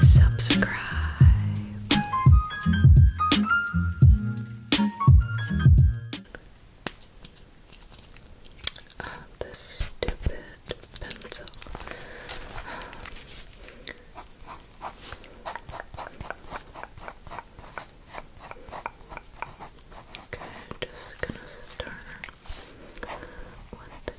Subscribe. Uh, this stupid pencil. Okay, just gonna start with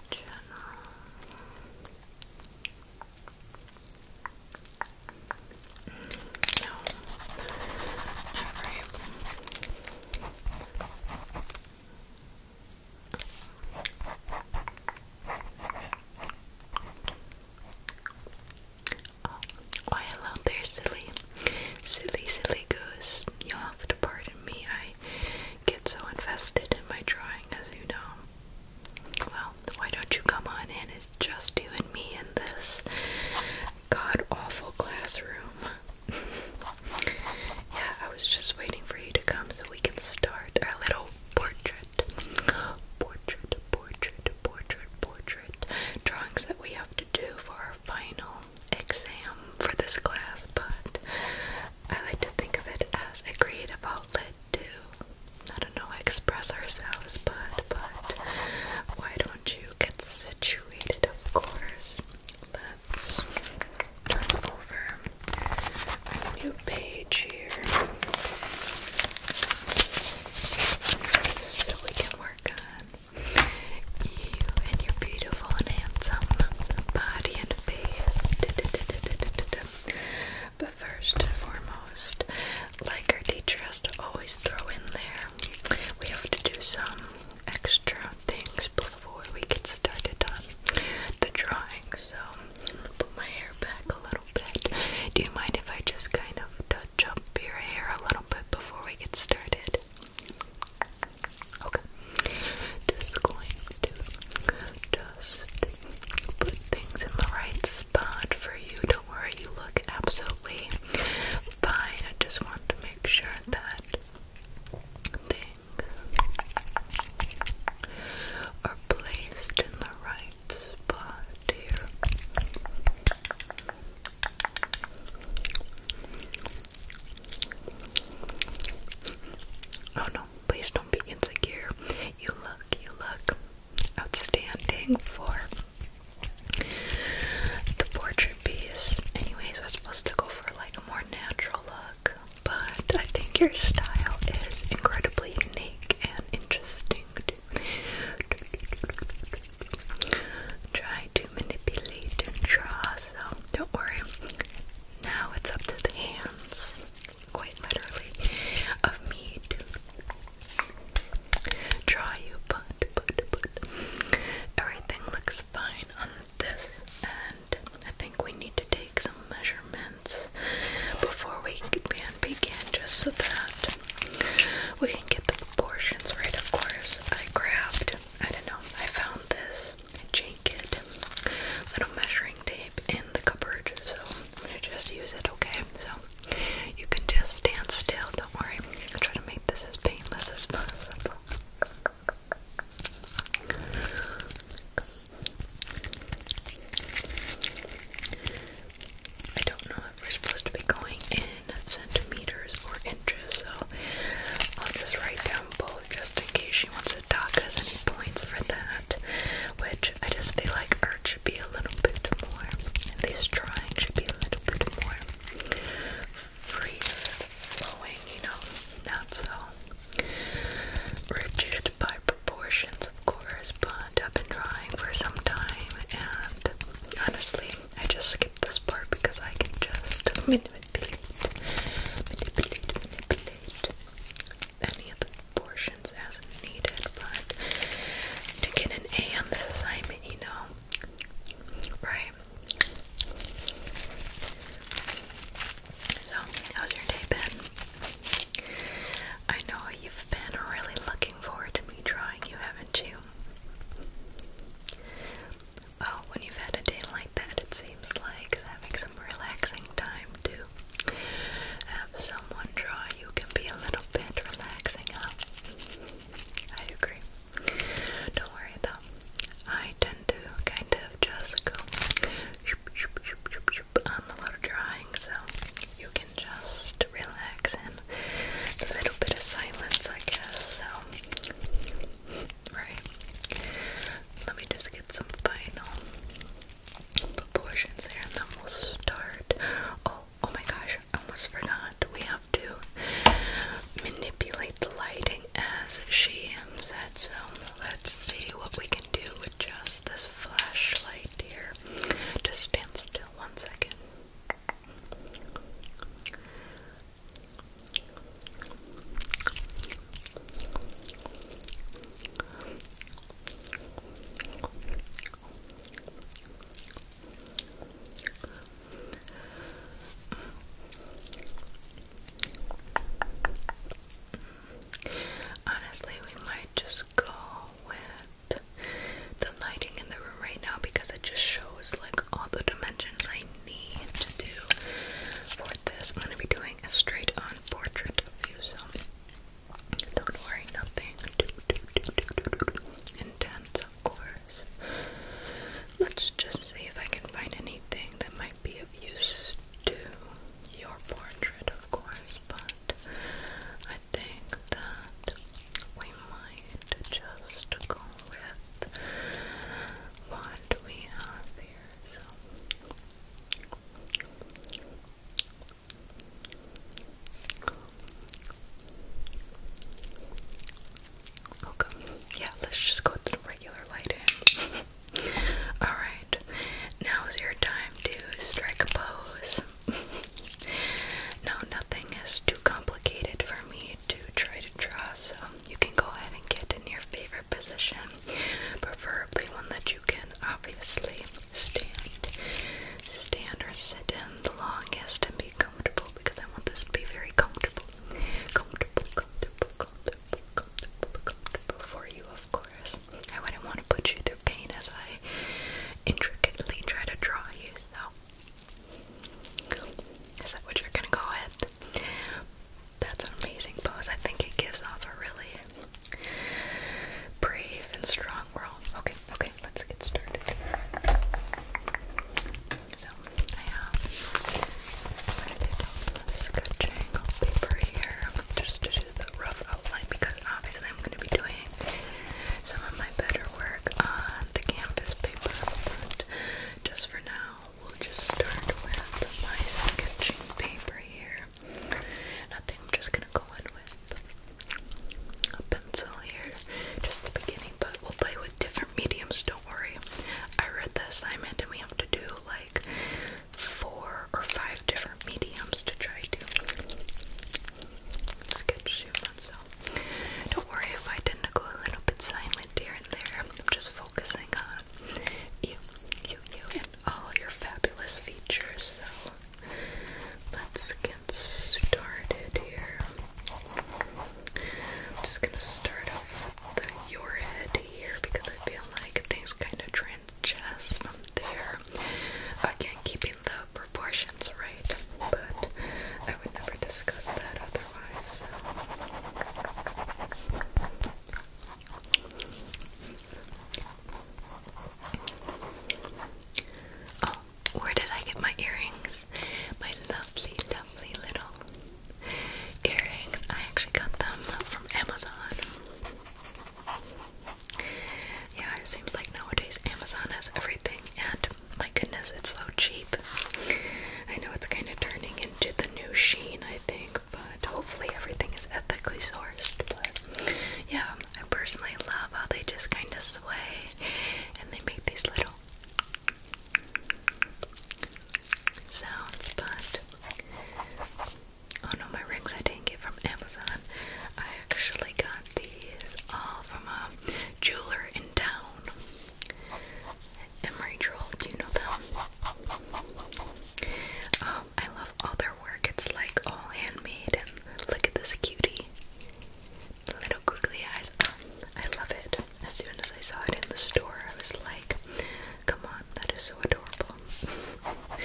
why hello there, silly, silly, silly goose. you have to pardon me, I get so invested in my drawing, as you know. Well, why don't you come on in? It's just you and me in this god awful classroom. yeah, I was just waiting for you to come so we can start our little portrait. Portrait, portrait, portrait, portrait. Drawings that we have to do for our final exam for this class, but I like to think of it as a creative outlet to, I don't know, express ourselves, but, but, why don't you get situated, of course. Let's turn over a new page here so we can work you and your beautiful and handsome body and face. But first and foremost, like our teacher has to always throw in there, we have to do some extra things before we get started the drawing. So put my hair back a little bit. Do you mind if I just kind of touch up your hair a little bit before we get started? Okay. Just going to just put things in the right spot for you. Don't worry, you look absolutely fine. I just want to make sure that things are placed in the right spot here. Oh no, please don't be insecure. You look, you look outstanding for the portrait piece. Anyways, we're supposed to go for like a more natural look, but I think your style is incredibly unique and interesting. Try to manipulate and draw some don't worry. Now it's up to the hands, quite literally, of me to draw you, but, but, but. Everything looks fine on this and I think we need to take some measurements before we can begin, just so that we can get the proportions right, of course. I grabbed I don't know. I found this jagged little measuring tape in the cupboard, so I'm gonna just use it, okay? So you can just stand still, don't worry. I'm gonna try to make this as painless as possible. I don't know if we're supposed to be going in centimeters or inches. So I'll just write down both just in case she wants to dock us any points for that. Which I just feel like art should be a little bit more, at least should be a little bit more free flowing, you know, not so rigid by proportions, of course. But I've been drawing for some time, and honestly, I just skipped this part because I can just manipulate, manipulate, manipulate any of the portions as needed. But to get an A on this assignment, you know, right? So, how's your day been? I know you've been really looking forward to me drawing you, haven't you? Well, oh, when you've had a day like that, it seems like having some relaxing time to have someone draw you can be a little bit relaxing, huh? I agree. Don't worry though. I tend to kind of just go shoop, shoop, shoop, shoop, shoop on the little drawing, so you can just relax in a little bit of silence, I guess. So right? Let me just get some final proportions there and then we'll start. Oh, oh my gosh, I almost forgot. We have to manipulate the lighting as she said, so let's see what we can do with just this flashlight here. Just stand still one second. Honestly, we might just go with the lighting in the room right now because it just shows like all the dimensions need to do for this. I'm going to be doing a straight on portrait of you, so don't worry, nothing intense, of course. Let's just see if I can find anything that might be of use to your portrait, of course, but I think that we might just go with font we have here. Okay. Oh, yeah, let's just go with the regular lighting. Alright, now's your time to strike a pose. no, nothing is too complicated for me to try to draw, so um, you can go ahead and get in your favorite position, preferably one that you can obviously stand, stand or sit in the longest and be comfortable because I want this to be very comfortable, comfortable, comfortable, comfortable, comfortable, comfortable for you, of course. I wouldn't want to put you through pain as I intricately try to draw you, so. Is that what you're gonna go with? That's an amazing pose. I think it gives off a really brave and strong world. Okay, okay, let's get started. So I have my little sketching paper here just to do the rough outline because obviously I'm going to be doing some of my better work on the canvas paper, just for now we'll just start with my sketching paper here. And I think I'm just gonna go in with a pencil here, just the beginning, but we'll play with different mediums, don't worry. I read the assignment and we have to do like four or five different mediums to try to sketch soon, so don't worry if I did to go a little bit silent here there. I'm just focusing on you, you, you, and all your fabulous features. So let's get started here. I'm just gonna start off with the, your head here because I feel like things kind of transgest from there. Again, keeping the proportions right, but I would never discuss that other Oh, where did I get my earrings? My lovely, lovely little earrings. I actually got them from Amazon. Yeah, it seems like nowadays Amazon has everything, and my goodness, it's so cheap. I know it's kind of turning into the new sheen, I think, but hopefully everything is ethically sourced. But yeah, I personally love how they just kind of sway and they make these little sounds. But oh no, my rings I didn't get from Amazon. I actually got these all from a jeweler in town. Emery Droll, do you know them? Um, I love all their work. It's like all handmade look at this cutie. Little googly eyes. Um, I love it. As soon as I saw it in the store, I was like, come on, that is so adorable.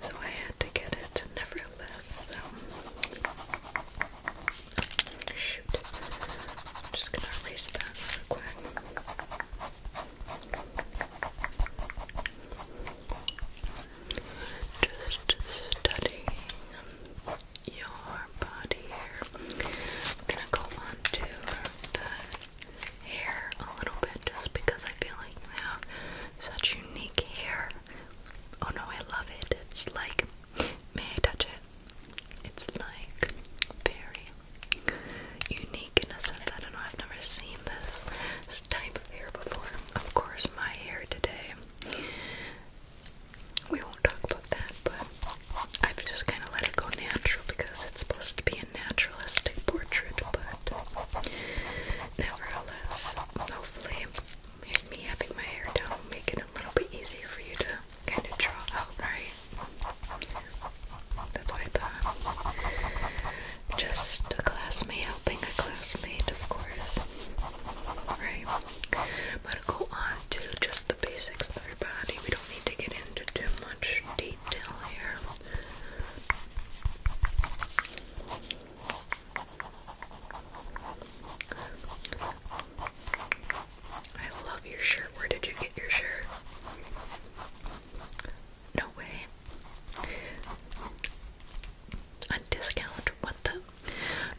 so I had to get it nevertheless. So. I'm just gonna erase that real quick. Just studying your body here. gonna go on to the hair a little bit just because I feel like you such unique hair. Oh no, I love it. It's like May I touch it? It's like very unique in a sense. I don't know, I've never seen this, type of hair before. Of course, my hair today. We won't talk about that, but I've just kind of let it go natural because it's supposed to be a naturalistic portrait, but nevertheless, hopefully, me having my hair down make it a little bit easier for you to kind of draw out, right? That's what I thought. Just a classmate helping a classmate, of course. Right? i go on to just the basics of your body. We don't need to get into too much detail here. I love your shirt. Where did you get your shirt? No way. On discount? What the?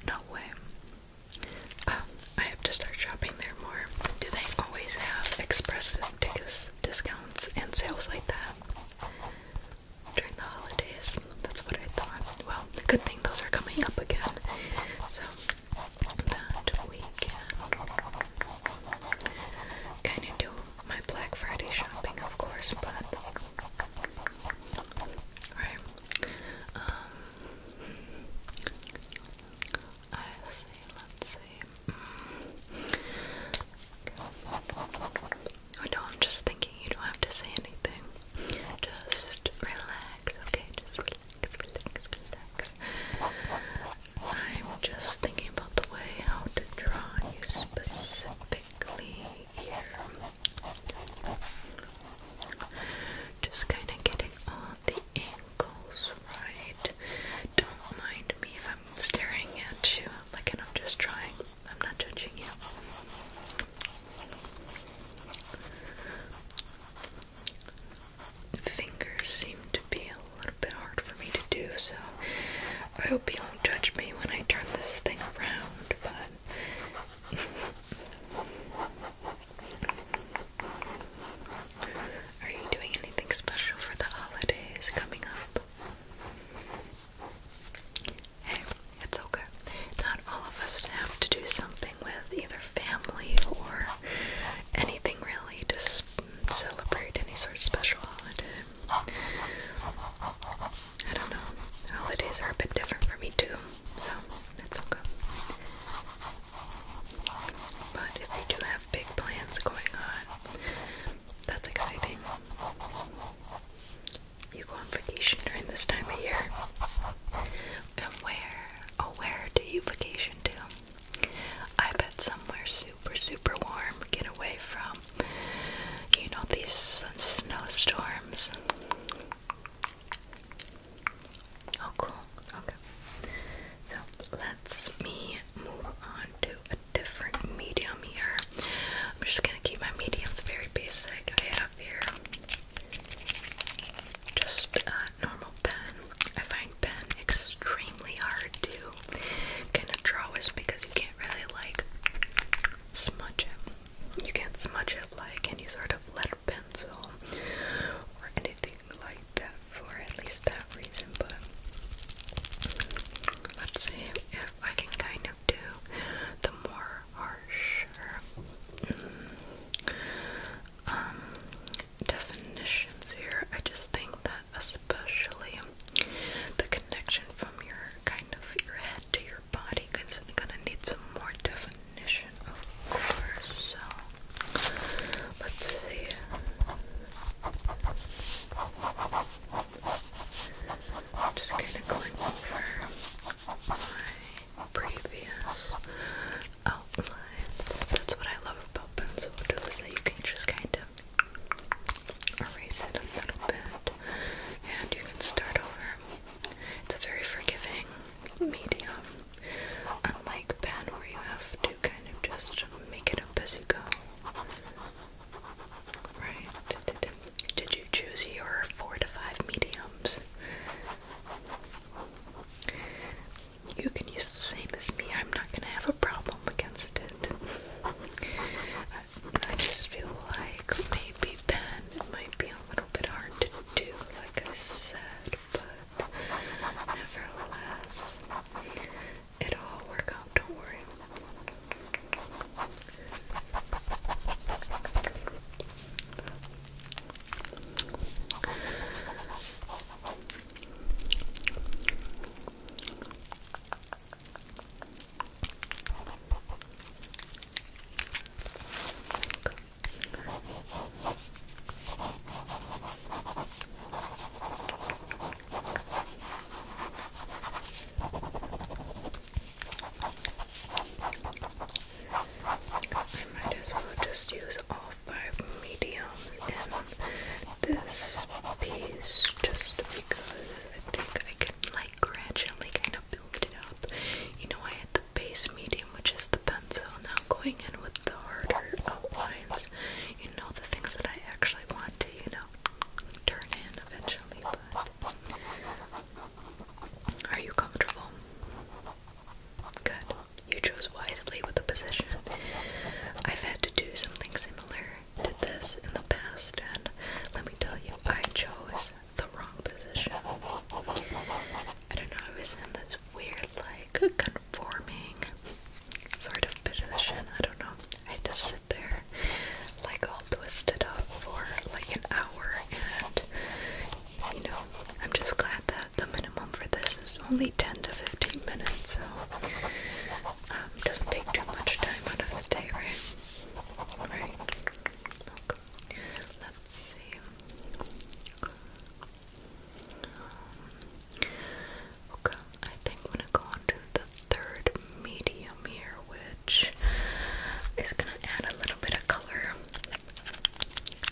No way. Um, I have to start shopping there more. Do they always have express dis discounts and sales like that during the holidays? That's what I thought. Well, good thing those are coming up again. So that we can kind do my Black Friday shopping, of course, but right. Um, I see. Let's see. Mm. Okay. Oh, I'm just thinking. You don't have to say anything. Just relax. Okay, just relax. I'm just thinking about the way how to draw specifically here. Just kind of getting all the angles right. Don't mind me if I'm staring at you. Like, and I'm just trying. I'm not judging you fingers seem to be a little bit hard for me to do, so I hope you will not judge me when I turn this thing around, but Are you doing anything special for the holidays coming up? Hey, it's okay. Not all of us have to do something with either family or anything really to celebrate any sort of special holiday. I don't know. Holidays are a bit different for me too, so that's okay. But if you do have big plans going on, that's exciting. You go on vacation during this time of year. And where, oh, where do you vacation to? I bet somewhere super, super warm. Get away from, you know, these snowstorms. Oh, cool. Okay. So let's me move on to a different medium here. I'm just gonna keep my mediums very basic. I have here just a normal pen. I find pen extremely hard to kind of draw with because you can't really like smudge it. You can't smudge it like any sort of lead pencil or anything like that for at least that reason. But let's see if I can kind of do the more harsher. Mm, um, definitions here. I just think that especially the connection from your kind of your head to your body is gonna need some more definition, of course. So let's see. just kind of going over my previous outlines. That's what I love about pencil is that you can just kind of erase it a little bit, and you can start over. It's a very forgiving medium, unlike pen where you have to kind of just make it up as you go. Right? did you choose your four to five mediums? you can use the same as me. I'm not gonna have a problem against it. I, just feel like maybe pen might be a little bit hard to do, like I said, but nevertheless, it'll all work out. Don't worry. I might as well just use all five mediums and this piece just because I think I can like gradually kind of build it up. You know, I had the base medium, which is the pencil, now going in with the harder outlines, you know, the things that I actually want to, you know, turn in eventually. But are you comfortable? Good. You chose wisely with the position. I've had to do something similar to this in the past, and let me tell you, I chose the wrong position. I don't know, I was in this weird, like, conforming sort of position. I don't know. I had to sit there, like, all twisted up for like an hour, and you know, I'm just glad that the minimum for this is only 10 to 15 minutes, so um, doesn't take too much time out of the day, right? Okay. Let's see. okay, I think I'm gonna go on the third medium here, which is gonna add a little bit of color.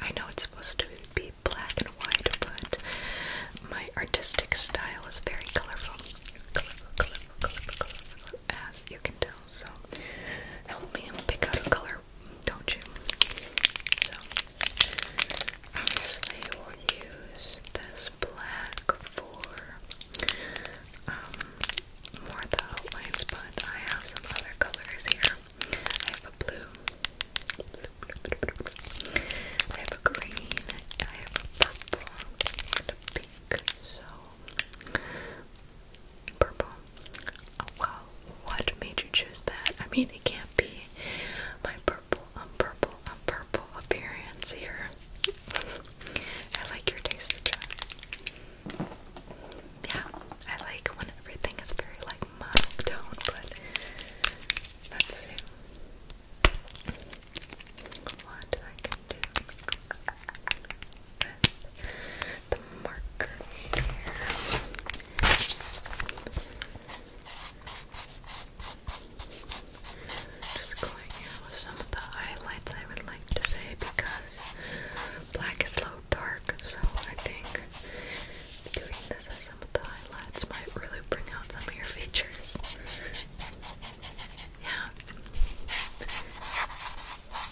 I know it's supposed to be black and white, but my artistic style is very colorful. as you can tell. So, help me pick out a color, don't you? So, obviously, we'll use this black for um, more the outlines, but I have some other colors here. I have a blue. I have a green. I have a purple and a pink. So purple. Oh, well, what made you choose that? I mean, it can't be my purple, um, purple, um, purple appearance here. I like your taste of chocolate. Yeah, I like when everything is very light like mild tone, but let's see what I can do the marker here. Just going in with some of the highlights I would like to say because black is low dark, so I think doing this as some of the highlights might really bring out some of your features. Yeah.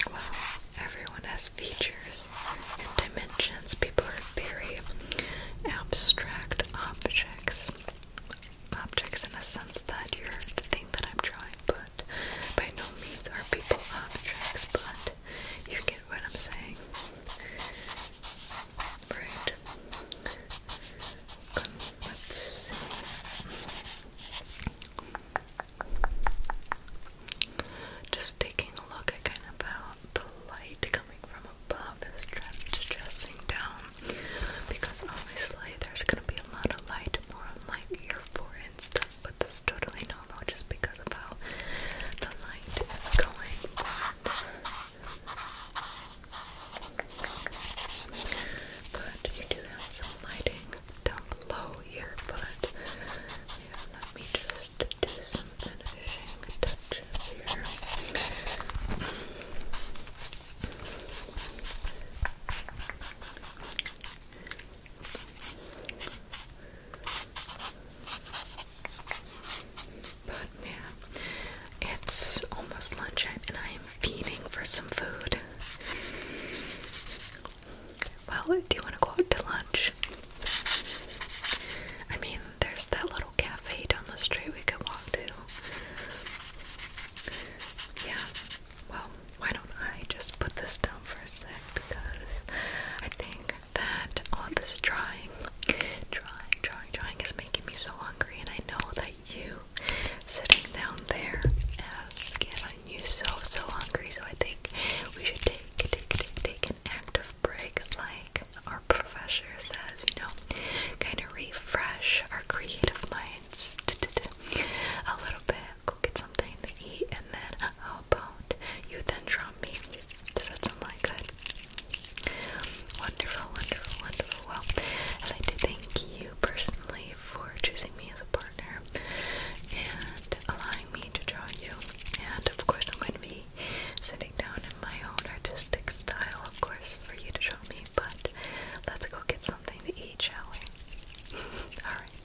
Well, everyone has features dimensions. People are very abstract objects. Objects in a sense that you're the thing that I'm trying, but by no means are people objects, but you can what I'm saying? Right. let's see. Just taking a look at kind of how the light coming from above is stressing down because obviously there's going to be a lot of light more on like your forehead but that's totally know just because of how the light is going. But you do have some lighting down below here, but let me just do some finishing touches here. But yeah, it's almost lunchtime and I am feeding for some food. Well, do you want to go out to lunch? I mean, there's that little cafe down the street we could walk to. Yeah, well, why don't I just put this down for a sec because I think that all this drawing, drawing, drawing, drawing is making me so hungry, and I know that you sitting down there as Gavin, you so so hungry. So I think we should take take take take an active break, like our professor says. You know, kind of refresh our creative minds a little bit. Go get something to eat, and then. Uh, you then draw me. Does that sound like good? Wonderful, wonderful, wonderful. Well, I'd like to thank you personally for choosing me as a partner and allowing me to draw you. And of course, I'm going to be sitting down in my own artistic style, of course, for you to draw me. But let's go get something to eat, shall we? Alright.